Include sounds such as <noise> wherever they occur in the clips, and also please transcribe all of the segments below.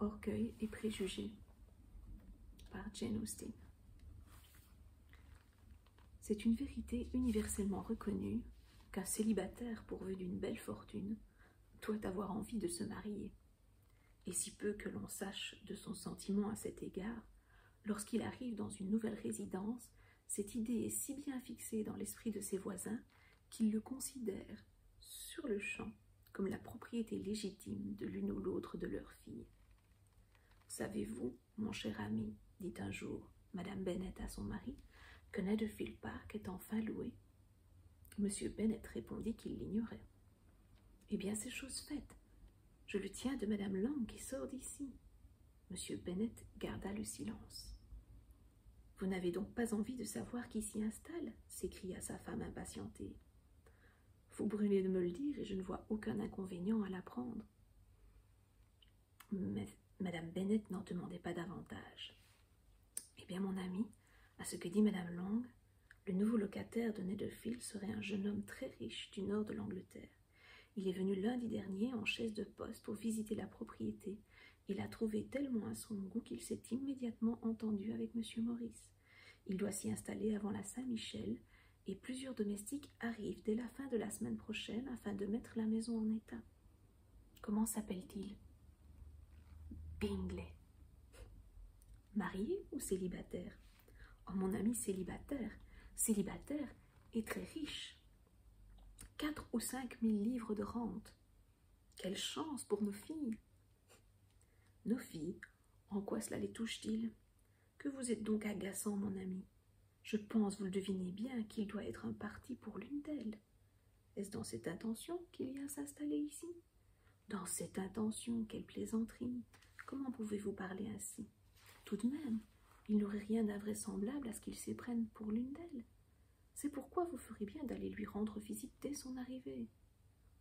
Orgueil et préjugés par Jane Austen. C'est une vérité universellement reconnue qu'un célibataire pourvu d'une belle fortune doit avoir envie de se marier, et si peu que l'on sache de son sentiment à cet égard, lorsqu'il arrive dans une nouvelle résidence, cette idée est si bien fixée dans l'esprit de ses voisins qu'ils le considèrent, sur le champ comme la propriété légitime de l'une ou l'autre de leurs filles. Savez-vous, mon cher ami, dit un jour Madame Bennett à son mari, que Netherfield Park est enfin loué Monsieur Bennett répondit qu'il l'ignorait. Eh bien, c'est chose faite. Je le tiens de Madame Lang qui sort d'ici. Monsieur Bennett garda le silence. Vous n'avez donc pas envie de savoir qui s'y installe s'écria sa femme impatientée. Vous brûlez de me le dire et je ne vois aucun inconvénient à l'apprendre. Mais Madame Bennett n'en demandait pas davantage. Eh bien, mon ami, à ce que dit Madame Long, le nouveau locataire de Netherfield serait un jeune homme très riche du nord de l'Angleterre. Il est venu lundi dernier en chaise de poste pour visiter la propriété il a trouvé tellement à son goût qu'il s'est immédiatement entendu avec Monsieur Maurice. Il doit s'y installer avant la Saint-Michel, et plusieurs domestiques arrivent dès la fin de la semaine prochaine afin de mettre la maison en état. Comment s'appelle-t-il Bingley. Marié ou célibataire Oh, mon ami célibataire, célibataire et très riche. Quatre ou cinq mille livres de rente. Quelle chance pour nos filles Nos filles, en quoi cela les touche-t-il Que vous êtes donc agaçant, mon ami. Je pense, vous le devinez bien, qu'il doit être un parti pour l'une d'elles. Est-ce dans cette intention qu'il vient s'installer ici Dans cette intention, quelle plaisanterie Comment pouvez-vous parler ainsi Tout de même, il n'aurait rien d'invraisemblable à ce qu'il s'y pour l'une d'elles. C'est pourquoi vous ferez bien d'aller lui rendre visite dès son arrivée.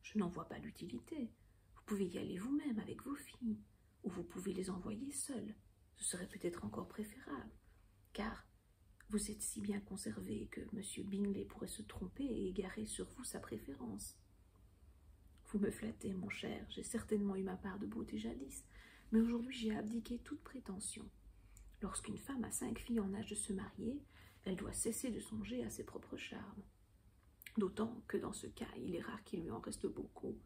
Je n'en vois pas l'utilité. Vous pouvez y aller vous-même avec vos filles, ou vous pouvez les envoyer seules. Ce serait peut-être encore préférable, car vous êtes si bien conservé que Monsieur Bingley pourrait se tromper et égarer sur vous sa préférence. Vous me flattez, mon cher, j'ai certainement eu ma part de beauté jadis, mais aujourd'hui j'ai abdiqué toute prétention. Lorsqu'une femme a cinq filles en âge de se marier, elle doit cesser de songer à ses propres charmes. D'autant que dans ce cas, il est rare qu'il lui en reste beaucoup.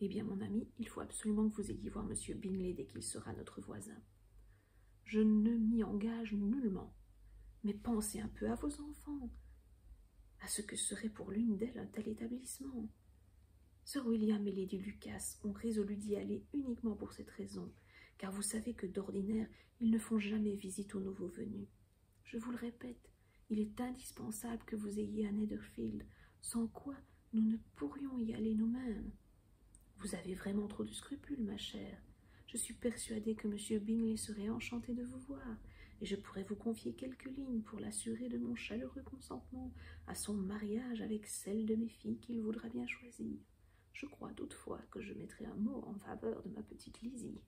Eh bien, mon ami, il faut absolument que vous ayez voir M. Bingley dès qu'il sera notre voisin. Je ne m'y engage nullement, mais pensez un peu à vos enfants, à ce que serait pour l'une d'elles un tel établissement. Sir William et Lady Lucas ont résolu d'y aller uniquement pour cette raison, car vous savez que d'ordinaire ils ne font jamais visite aux nouveaux venus. Je vous le répète, il est indispensable que vous ayez un Netherfield, sans quoi nous ne pourrions y aller nous-mêmes. Vous avez vraiment trop de scrupules, ma chère. Je suis persuadée que Monsieur Bingley serait enchanté de vous voir, et je pourrais vous confier pour l'assurer de mon chaleureux consentement à son mariage avec celle de mes filles qu'il voudra bien choisir. Je crois toutefois que je mettrai un mot en faveur de ma petite Lizzie.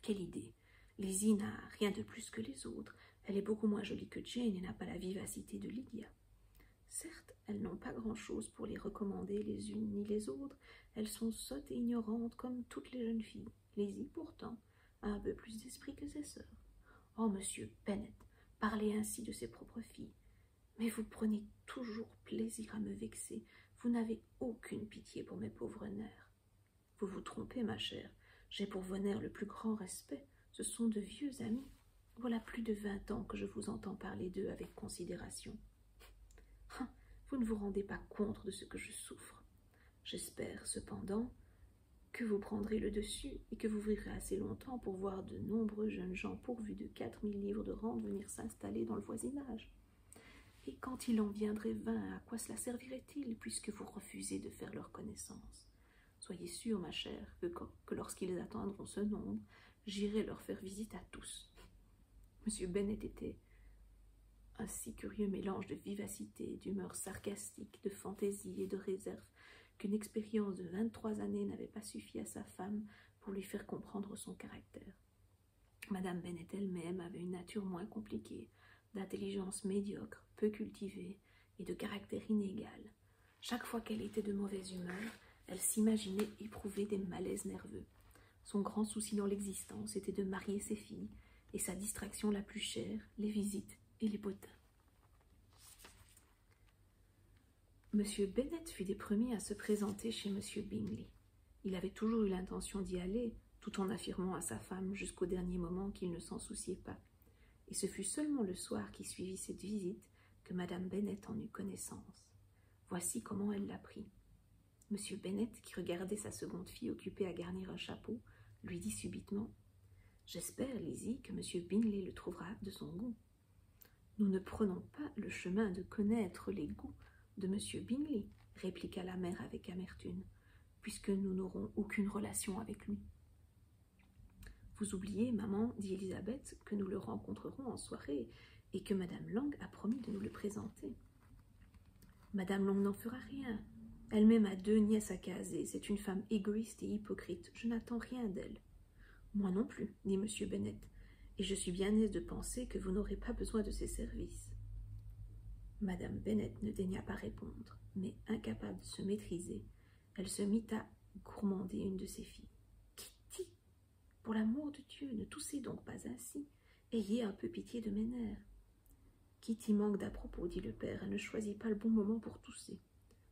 Quelle idée Lizzie n'a rien de plus que les autres. Elle est beaucoup moins jolie que Jane et n'a pas la vivacité de Lydia. Certes, elles n'ont pas grand-chose pour les recommander les unes ni les autres. Elles sont sottes et ignorantes comme toutes les jeunes filles. Lizzie, pourtant, un peu plus d'esprit que ses sœurs. Oh, monsieur Bennett, parlez ainsi de ses propres filles. Mais vous prenez toujours plaisir à me vexer. Vous n'avez aucune pitié pour mes pauvres nerfs. Vous vous trompez, ma chère. J'ai pour vos nerfs le plus grand respect. Ce sont de vieux amis. Voilà plus de vingt ans que je vous entends parler d'eux avec considération. Hein, vous ne vous rendez pas compte de ce que je souffre. J'espère, cependant, que vous prendrez le dessus et que vous ouvrirez assez longtemps pour voir de nombreux jeunes gens pourvus de quatre mille livres de rente venir s'installer dans le voisinage. Et quand il en viendrait vingt, à quoi cela servirait-il, puisque vous refusez de faire leur connaissance Soyez sûre, ma chère, que, lorsqu'ils atteindront ce nombre, j'irai leur faire visite à tous. <laughs> Monsieur Bennett était un si curieux mélange de vivacité, et d'humeur sarcastique, de fantaisie et de réserve qu'une expérience de 23 années n'avait pas suffi à sa femme pour lui faire comprendre son caractère. Madame Bennet elle-même avait une nature moins compliquée, d'intelligence médiocre, peu cultivée et de caractère inégal. Chaque fois qu'elle était de mauvaise humeur, elle s'imaginait éprouver des malaises nerveux. Son grand souci dans l'existence était de marier ses filles, et sa distraction la plus chère, les visites et les bottins. Monsieur Bennett fut des premiers à se présenter chez Monsieur Bingley. Il avait toujours eu l'intention d'y aller, tout en affirmant à sa femme jusqu'au dernier moment qu'il ne s'en souciait pas. Et ce fut seulement le soir qui suivit cette visite que Madame Bennett en eut connaissance. Voici comment elle l'apprit. Monsieur Bennett, qui regardait sa seconde fille occupée à garnir un chapeau, lui dit subitement J'espère, Lizzie, que M. Bingley le trouvera de son goût. Nous ne prenons pas le chemin de connaître les goûts de M. Bingley, répliqua la mère avec amertume, puisque nous n'aurons aucune relation avec lui. Vous oubliez, maman, dit Elisabeth, que nous le rencontrerons en soirée et que Madame Lang a promis de nous le présenter. Madame Long n'en fera rien. Elle-même a deux nièces à caser. C'est une femme égoïste et hypocrite. Je n'attends rien d'elle. Moi non plus, dit M. Bennett, et je suis bien aise de penser que vous n'aurez pas besoin de ses services. Madame Bennett ne daigna pas répondre, mais incapable de se maîtriser, elle se mit à gourmander une de ses filles. Kitty, pour l'amour de Dieu, ne toussez donc pas ainsi. Ayez un peu pitié de mes nerfs. Kitty manque d'à propos, dit le père. Elle ne choisit pas le bon moment pour tousser.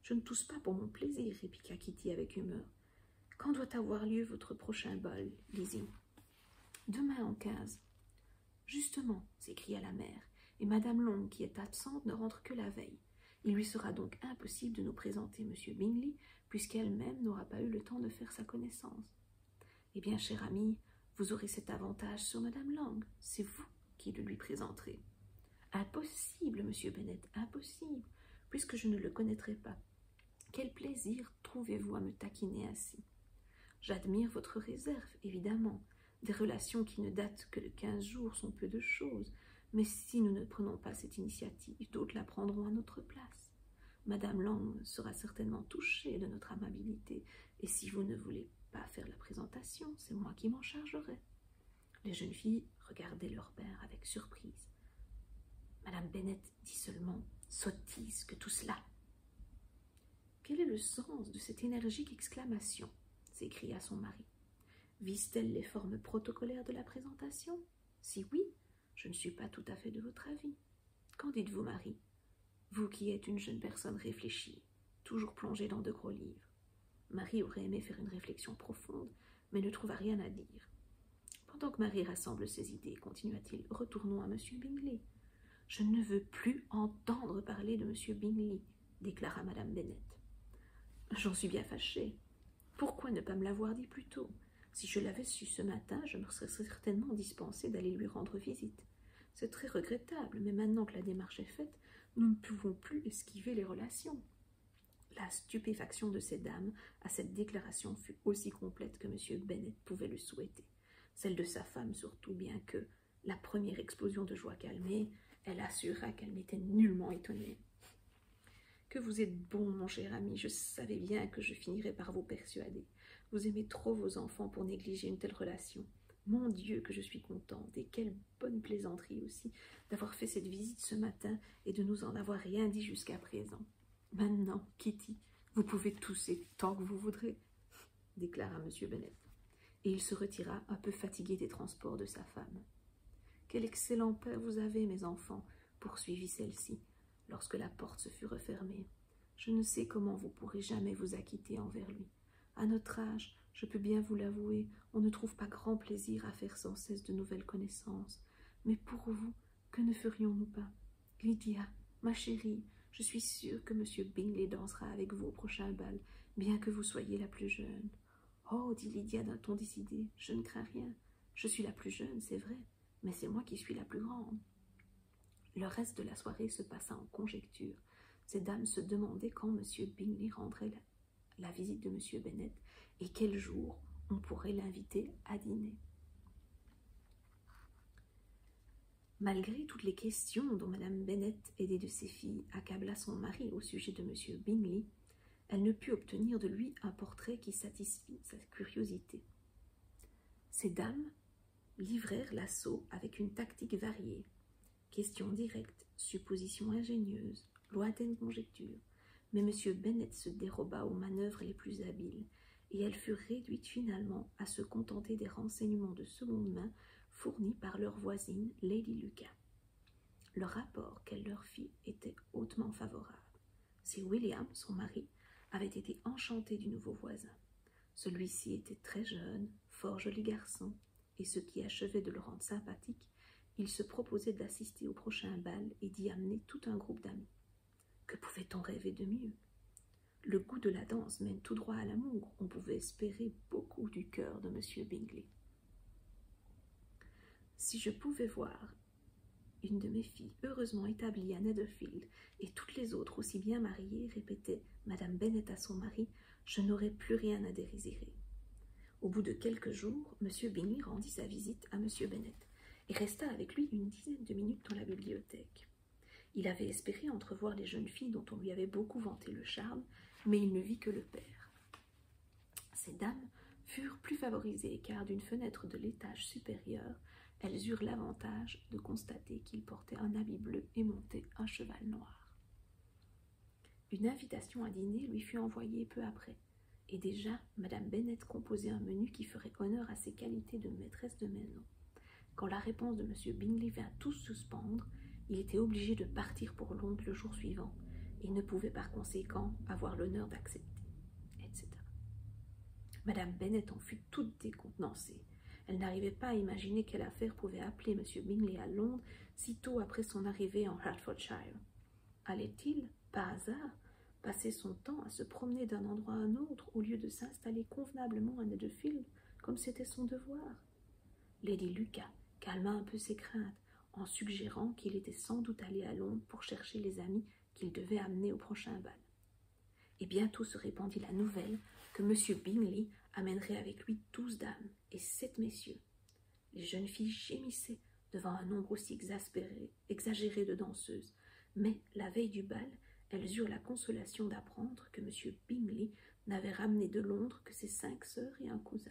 Je ne tousse pas pour mon plaisir, répliqua Kitty avec humeur. Quand doit avoir lieu votre prochain bal, Lizzie Demain en quinze. Justement, s'écria la mère, et Madame Long, qui est absente, ne rentre que la veille. Il lui sera donc impossible de nous présenter M. Bingley, puisqu'elle-même n'aura pas eu le temps de faire sa connaissance. Eh bien, cher ami, vous aurez cet avantage sur Madame Lang. C'est vous qui le lui présenterez. Impossible, monsieur Bennett, impossible, puisque je ne le connaîtrai pas. Quel plaisir trouvez-vous à me taquiner ainsi J'admire votre réserve, évidemment. Des relations qui ne datent que de quinze jours sont peu de choses, mais si nous ne prenons pas cette initiative, d'autres la prendront à notre place. Madame Lang sera certainement touchée de notre amabilité, et si vous ne voulez pas faire la présentation, c'est moi qui m'en chargerai. Les jeunes filles regardaient leur père avec surprise. Madame Bennett dit seulement Sottise que tout cela. Quel est le sens de cette énergique exclamation s'écria son mari. Vise-t-elle les formes protocolaires de la présentation Si oui, je ne suis pas tout à fait de votre avis. Qu'en dites-vous, Marie Vous qui êtes une jeune personne réfléchie, toujours plongée dans de gros livres. Marie aurait aimé faire une réflexion profonde, mais ne trouva rien à dire. Pendant que Marie rassemble ses idées, continua-t-il, retournons à M. Bingley. Je ne veux plus entendre parler de M. Bingley, déclara Madame Bennet. J'en suis bien fâchée. Pourquoi ne pas me l'avoir dit plus tôt Si je l'avais su ce matin, je me serais certainement dispensée d'aller lui rendre visite. C'est très regrettable, mais maintenant que la démarche est faite, nous ne pouvons plus esquiver les relations. La stupéfaction de ces dames à cette déclaration fut aussi complète que Monsieur Bennett pouvait le souhaiter. Celle de sa femme surtout, bien que, la première explosion de joie calmée, elle assura qu'elle n'était nullement étonnée. Que vous êtes bon, mon cher ami, je savais bien que je finirais par vous persuader. Vous aimez trop vos enfants pour négliger une telle relation. Mon Dieu, que je suis contente, et quelle bonne plaisanterie aussi d'avoir fait cette visite ce matin et de nous en avoir rien dit jusqu'à présent. Maintenant, Kitty, vous pouvez tousser tant que vous voudrez, déclara M. bennett Et il se retira, un peu fatigué des transports de sa femme. Quel excellent père vous avez, mes enfants, poursuivit celle-ci, lorsque la porte se fut refermée. Je ne sais comment vous pourrez jamais vous acquitter envers lui. À notre âge, je peux bien vous l'avouer, on ne trouve pas grand plaisir à faire sans cesse de nouvelles connaissances. Mais pour vous, que ne ferions-nous pas Lydia, ma chérie, je suis sûre que M. Bingley dansera avec vous au prochain bal, bien que vous soyez la plus jeune. Oh, dit Lydia d'un ton décidé, je ne crains rien. Je suis la plus jeune, c'est vrai, mais c'est moi qui suis la plus grande. Le reste de la soirée se passa en conjecture. Ces dames se demandaient quand M. Bingley rendrait la, visite de M. Bennett et quel jour on pourrait l'inviter à dîner. Malgré toutes les questions dont Madame Bennett aidée de ses filles, accabla son mari au sujet de M. Bingley, elle ne put obtenir de lui un portrait qui satisfît sa curiosité. Ces dames livrèrent l'assaut avec une tactique variée. Questions directes, suppositions ingénieuses, lointaines conjectures. Mais M. Bennett se déroba aux manœuvres les plus habiles, et elles furent réduites finalement à se contenter des renseignements de seconde main fournis par leur voisine, Lady Lucas. Le rapport qu'elle leur fit était hautement favorable si William, son mari, avait été enchanté du nouveau voisin. Celui-ci était très jeune, fort joli garçon, et ce qui achevait de le rendre sympathique, il se proposait d'assister au prochain bal et d'y amener tout un groupe d'amis. Que pouvait-on rêver de mieux Le goût de la danse mène tout droit à l'amour. On pouvait espérer beaucoup du cœur de M. Bingley. Si je pouvais voir une de mes filles, heureusement établie à Netherfield, et toutes les autres aussi bien mariées, répétait Madame Bennet à son mari Je n'aurai plus rien à désirer. Au bout de quelques jours, Monsieur Bennet rendit sa visite à Monsieur Bennet et resta avec lui une dizaine de minutes dans la bibliothèque. Il avait espéré entrevoir les jeunes filles dont on lui avait beaucoup vanté le charme, mais il ne vit que le père. Ces dames furent plus favorisées car d'une fenêtre de l'étage supérieur, elles eurent l'avantage de constater qu'il portait un habit bleu et montait un cheval noir. Une invitation à dîner lui fut envoyée peu après, et déjà Madame Bennett composait un menu qui ferait honneur à ses qualités de maîtresse de maison. Quand la réponse de M. Bingley vint tout suspendre, il était obligé de partir pour Londres le jour suivant, et ne pouvait par conséquent avoir l'honneur d'accepter etc. Madame Bennett en fut toute décontenancée. Elle n'arrivait pas à imaginer quelle affaire pouvait appeler M. Bingley à Londres si tôt après son arrivée en Hertfordshire. Allait-il, par hasard, passer son temps à se promener d'un endroit à un autre au lieu de s'installer convenablement à Netherfield comme c'était son devoir Lady Lucas calma un peu ses craintes en suggérant qu'il était sans doute allé à Londres pour chercher les amis qu'il devait amener au prochain bal. Et bientôt se répandit la nouvelle que Monsieur Bingley amènerait avec lui douze dames et sept messieurs. Les jeunes filles gémissaient devant un nombre aussi exaspéré, exagéré de danseuses, mais la veille du bal, elles eurent la consolation d'apprendre que M. Bingley n'avait ramené de Londres que ses cinq sœurs et un cousin.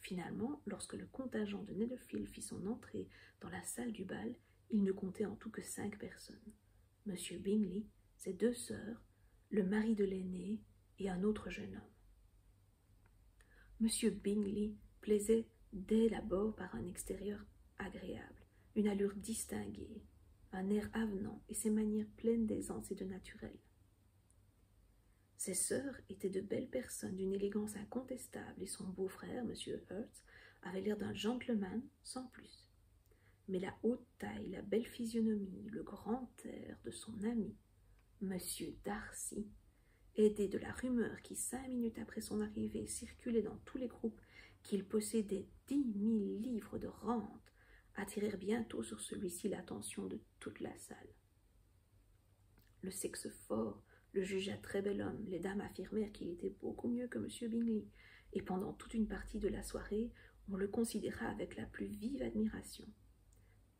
Finalement, lorsque le contingent de Neddlefield fit son entrée dans la salle du bal, il ne comptait en tout que cinq personnes. M. Bingley, ses deux sœurs, le mari de l'aîné et un autre jeune homme. M. Bingley plaisait dès l'abord par un extérieur agréable, une allure distinguée, un air avenant et ses manières pleines d'aisance et de naturel. Ses sœurs étaient de belles personnes d'une élégance incontestable et son beau-frère, M. Hertz, avait l'air d'un gentleman sans plus. Mais la haute taille, la belle physionomie, le grand air de son ami, M. Darcy, aidé de la rumeur qui, cinq minutes après son arrivée, circulait dans tous les groupes qu'il possédait dix mille livres de rente, attirèrent bientôt sur celui-ci l'attention de toute la salle. Le sexe fort le jugea très bel homme. Les dames affirmèrent qu'il était beaucoup mieux que M. Bingley, et pendant toute une partie de la soirée, on le considéra avec la plus vive admiration.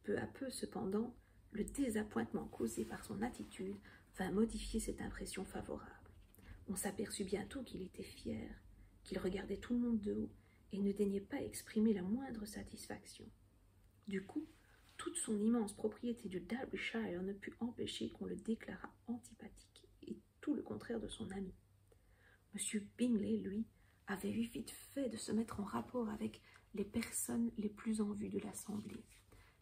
Peu à peu, cependant, le désappointement causé par son attitude vint modifier cette impression favorable. On s'aperçut bientôt qu'il était fier, qu'il regardait tout le monde de haut et ne daignait pas exprimer la moindre satisfaction. Du coup, toute son immense propriété du Derbyshire ne put empêcher qu'on le déclarât antipathique et tout le contraire de son ami. M. Bingley, lui, avait eu vite fait de se mettre en rapport avec les personnes les plus en vue de l'assemblée.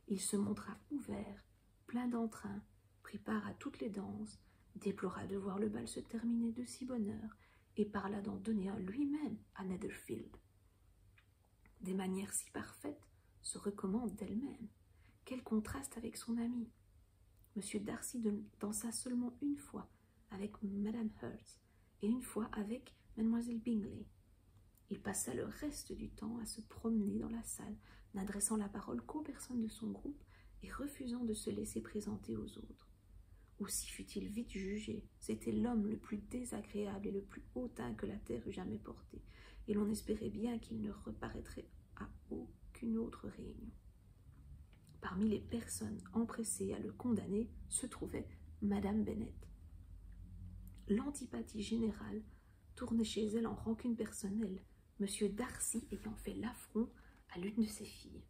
Il se montra ouvert, plein d'entrain, prit part à toutes les danses, déplora de voir le bal se terminer de si bonne heure et parla d'en donner un lui-même à Netherfield des manières si parfaites, se recommandent d'elles-mêmes. Quel contraste avec son ami M. Darcy dansa seulement une fois avec Madame Hurst et une fois avec Mademoiselle Bingley. Il passa le reste du temps à se promener dans la salle, n'adressant la parole qu'aux personnes de son groupe et refusant de se laisser présenter aux autres. Aussi fut-il vite jugé, c'était l'homme le plus désagréable et le plus hautain que la terre eût jamais porté, et l'on espérait bien qu'il ne reparaîtrait à aucune autre réunion. Parmi les personnes empressées à le condamner se trouvait Madame Bennett. L'antipathie générale tournait chez elle en rancune personnelle, M. Darcy ayant fait l'affront à l'une de ses filles.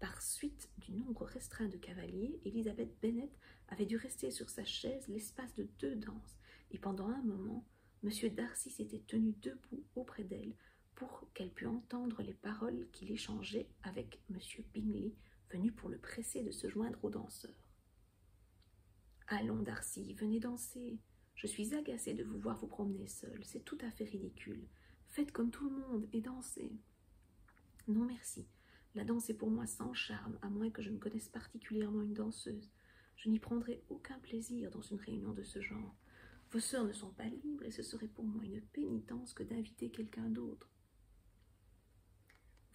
Par suite du nombre restreint de cavaliers, Elisabeth Bennet avait dû rester sur sa chaise l'espace de deux danses, et pendant un moment, M. Darcy s'était tenu debout auprès d'elle pour qu'elle pût entendre les paroles qu'il échangeait avec M. Bingley, venu pour le presser de se joindre aux danseurs. Allons, Darcy, venez danser. Je suis agacée de vous voir vous promener seul. C'est tout à fait ridicule. Faites comme tout le monde et dansez. Non merci, la danse est pour moi sans charme, à moins que je ne connaisse particulièrement une danseuse. Je n'y prendrai aucun plaisir dans une réunion de ce genre. Vos sœurs ne sont pas libres et ce serait pour moi une pénitence que d'inviter quelqu'un d'autre.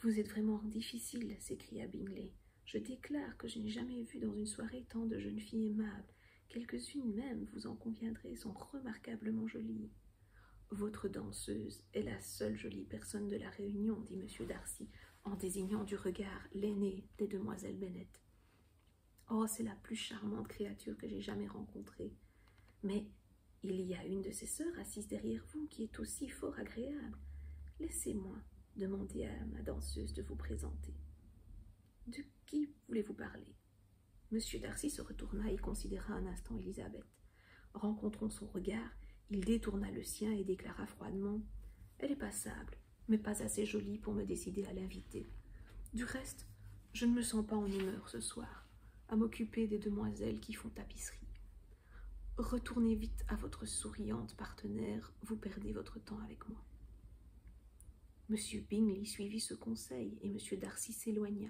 Vous êtes vraiment difficile, s'écria Bingley. Je déclare que je n'ai jamais vu dans une soirée tant de jeunes filles aimables. Quelques-unes même, vous en conviendrez, sont remarquablement jolies. Votre danseuse est la seule jolie personne de la réunion, dit monsieur Darcy, en désignant du regard l'aînée des demoiselles Bennett. Oh, c'est la plus charmante créature que j'ai jamais rencontrée. Mais il y a une de ses sœurs assise derrière vous qui est aussi fort agréable. Laissez-moi demander à ma danseuse de vous présenter. De qui voulez-vous parler Monsieur Darcy se retourna et considéra un instant Elisabeth. Rencontrant son regard, il détourna le sien et déclara froidement Elle est passable, mais pas assez jolie pour me décider à l'inviter. Du reste, je ne me sens pas en humeur ce soir à m'occuper des demoiselles qui font tapisserie. Retournez vite à votre souriante partenaire, vous perdez votre temps avec moi. Monsieur Bingley suivit ce conseil et Monsieur Darcy s'éloigna,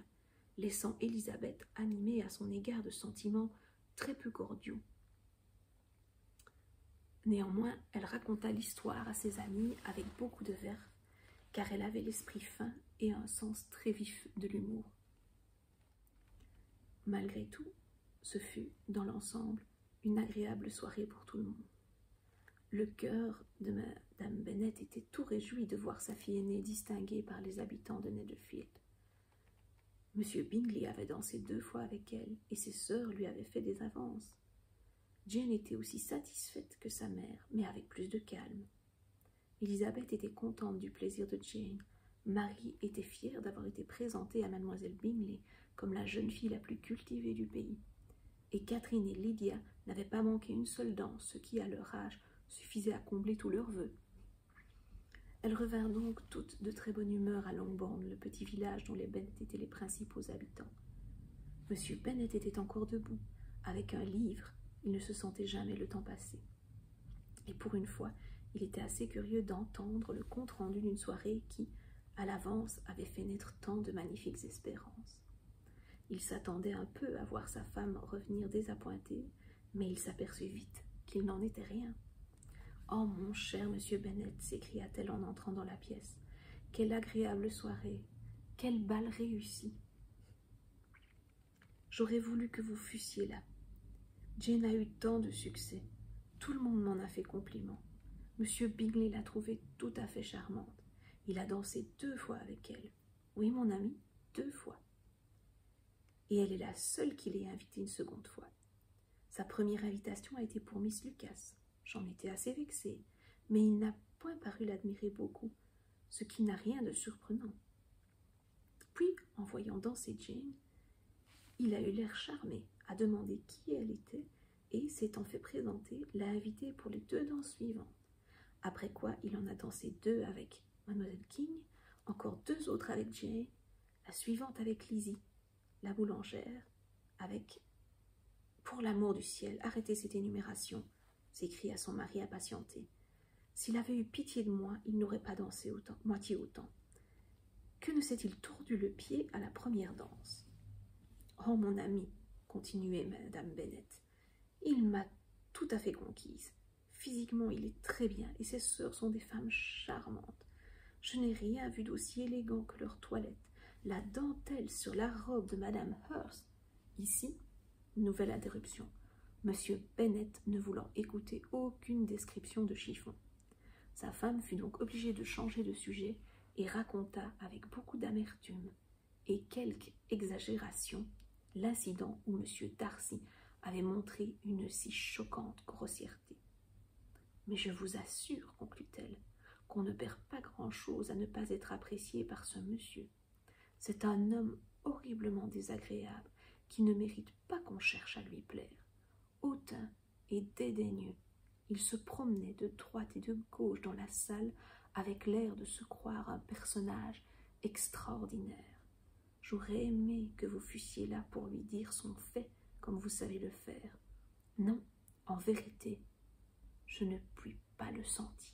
laissant Élisabeth animée à son égard de sentiments très peu cordiaux. Néanmoins, elle raconta l'histoire à ses amis avec beaucoup de verve, car elle avait l'esprit fin et un sens très vif de l'humour. Malgré tout, ce fut, dans l'ensemble, une agréable soirée pour tout le monde. Le cœur de Madame Bennet était tout réjouie de voir sa fille aînée distinguée par les habitants de Netherfield. Monsieur Bingley avait dansé deux fois avec elle, et ses sœurs lui avaient fait des avances. Jane était aussi satisfaite que sa mère, mais avec plus de calme. Élisabeth était contente du plaisir de Jane. Marie était fière d'avoir été présentée à mademoiselle Bingley comme la jeune fille la plus cultivée du pays et Catherine et Lydia n'avaient pas manqué une seule danse, ce qui, à leur âge, suffisait à combler tous leurs vœux. Elles revinrent donc toutes de très bonne humeur à Longbourn, le petit village dont les Bennett étaient les principaux habitants. Monsieur Bennet était encore debout, avec un livre, il ne se sentait jamais le temps passer, Et pour une fois, il était assez curieux d'entendre le compte-rendu d'une soirée qui, à l'avance, avait fait naître tant de magnifiques espérances. Il s'attendait un peu à voir sa femme revenir désappointée, mais il s'aperçut vite qu'il n'en était rien. Oh mon cher monsieur Bennett, s'écria-t-elle en entrant dans la pièce, quelle agréable soirée, quel bal réussi. J'aurais voulu que vous fussiez là. Jane a eu tant de succès. Tout le monde m'en a fait compliment. Monsieur Bingley l'a trouvée tout à fait charmante. Il a dansé deux fois avec elle. Oui, mon ami, deux fois. Et elle est la seule qui l'ait invitée une seconde fois. Sa première invitation a été pour Miss Lucas. J'en étais assez vexée, mais il n'a point paru l'admirer beaucoup, ce qui n'a rien de surprenant. Puis, en voyant danser Jane, il a eu l'air charmé, a demandé qui elle était et, s'étant fait présenter, l'a invitée pour les deux danses suivantes. Après quoi, il en a dansé deux avec Mademoiselle King, encore deux autres avec Jay, la suivante avec Lizzie, la boulangère, avec Pour l'amour du ciel, arrêtez cette énumération, s'écria son mari impatienté. S'il avait eu pitié de moi, il n'aurait pas dansé moitié autant. Que ne s'est-il tordu le pied à la première danse Oh, mon ami, continuait Madame Bennett, il m'a tout à fait conquise. Physiquement, il est très bien et ses sœurs sont des femmes charmantes. Je n'ai rien vu d'aussi élégant que leur toilette, la dentelle sur la robe de Madame Hurst. Ici, nouvelle interruption. Monsieur Bennett ne voulant écouter aucune description de chiffon. Sa femme fut donc obligée de changer de sujet et raconta avec beaucoup d'amertume et quelque exagération l'incident où M. Darcy avait montré une si choquante grossièreté. Mais je vous assure, conclut-elle, qu'on ne perd pas grand-chose à ne pas être apprécié par ce monsieur. C'est un homme horriblement désagréable qui ne mérite pas qu'on cherche à lui plaire, hautain et dédaigneux, il se promenait de droite et de gauche dans la salle avec l'air de se croire un personnage extraordinaire. J'aurais aimé que vous fussiez là pour lui dire son fait comme vous savez le faire. Non, en vérité, je ne puis pas le sentir.